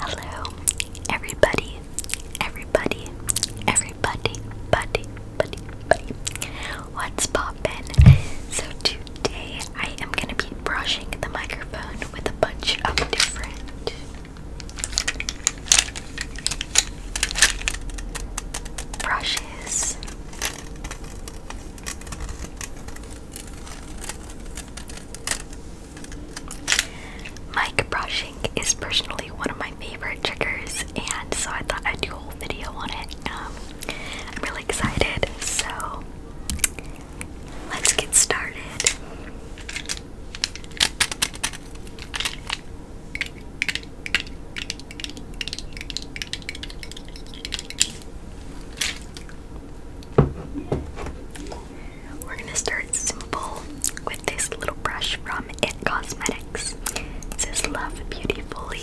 Hello, everybody, everybody, everybody, buddy, buddy, buddy. What's poppin'? So today I am gonna be brushing the microphone with a bunch of different brushes. Mic brushing is personally one of my favorite triggers, and so I thought I'd do a whole video on it. Um, I'm really excited, so let's get started. We're gonna start simple with this little brush from It Cosmetics. It says Love Beautifully.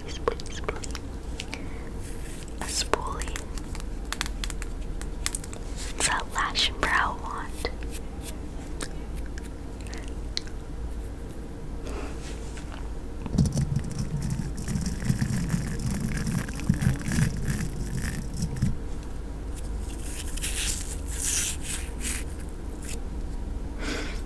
please, please, please. A spoolie. It's a lash and brow wand.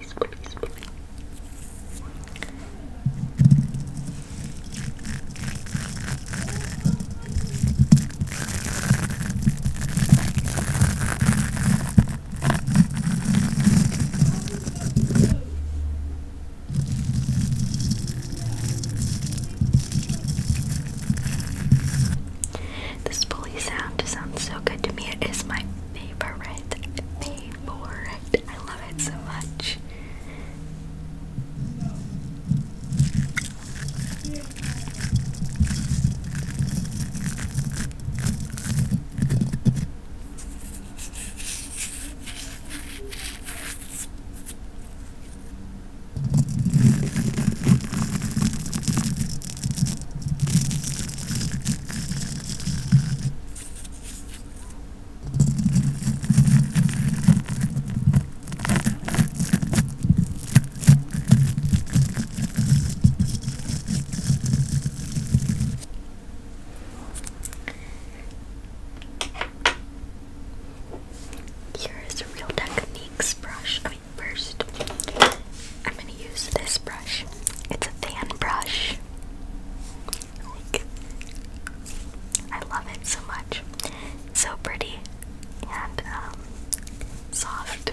please, please, This bully sound sounds so good to me. It is my favorite, favorite I love it so much. Here's a Real Techniques brush. first, I'm gonna use this brush. It's a fan brush. I love it so much. So pretty and um, soft.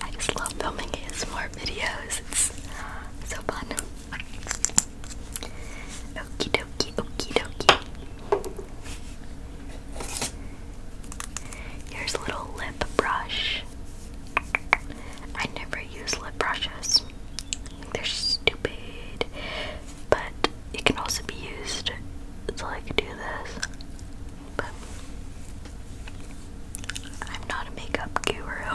I just love filming ASMR videos. It's so fun. Okie dokie, okie Here's a little lip brush. I never use lip brushes. They're stupid. But it can also be used to like do this. But I'm not a makeup guru.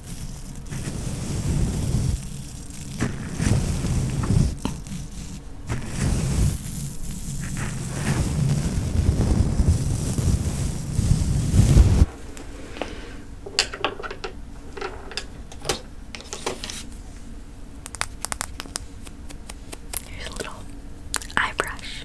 Here's a little eye brush.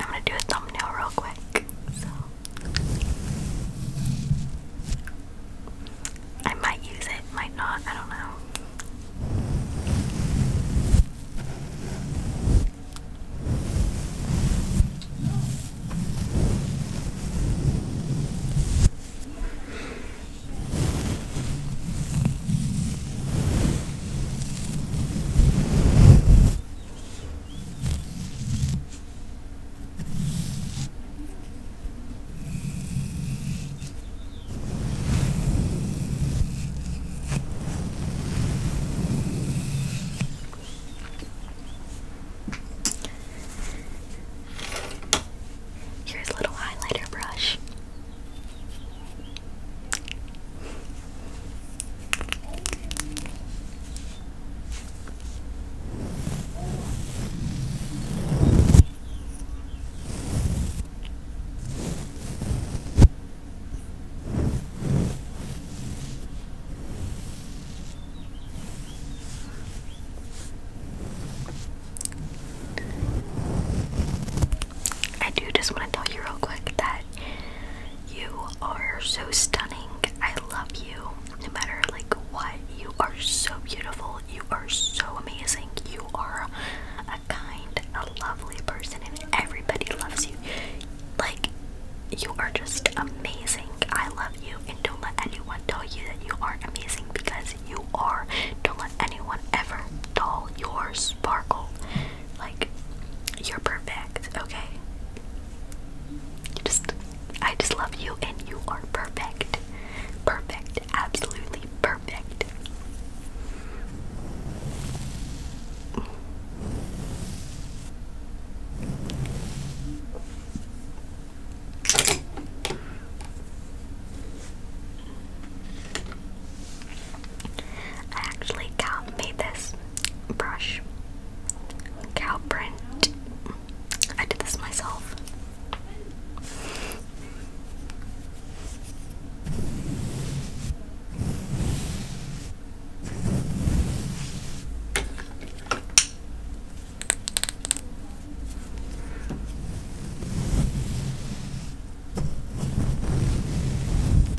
I'm gonna do a thumbnail real quick. I might use it, might not, I don't know. Here's a little highlighter brush. I do just want to tell you real quick that you are so stunning. I love you. No matter like what, you are so beautiful. You are so amazing. You are a kind, a lovely person, and everybody loves you. Like you are just amazing. I love you, and don't let anyone tell you that you aren't amazing because you are. Don't let anyone ever dull your sparkle. Like, you're perfect, okay? just, I just love you and you are perfect. Perfect, absolutely perfect. I actually can made this brush cow print. I did this myself.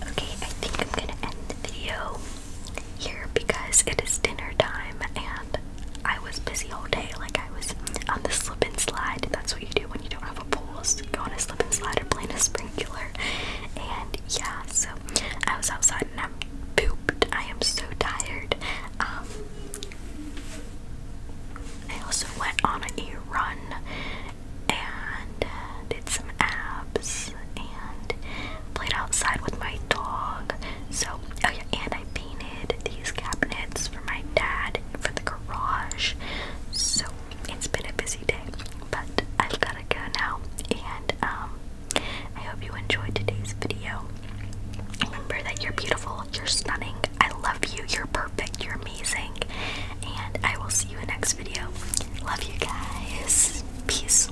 Okay, I think I'm gonna end the video here because it is dinner time and I was busy all day. Like, I was on the slip and slide. That's what you do when you don't have a pool, is go on a slip and slide or play a sprinkler. And yeah, so I was outside and i pooped. I am so tired. Um, I also went on a run and uh, did some abs and played outside with my dog. So, oh yeah, and I painted these cabinets for my dad for the garage. So it's been a busy day, but I've gotta go now. And um, I hope you enjoyed today's video. Remember that you're beautiful, you're stunning. I love you, you're perfect, you're amazing. And I will see you in next video. Love you guys. Peace.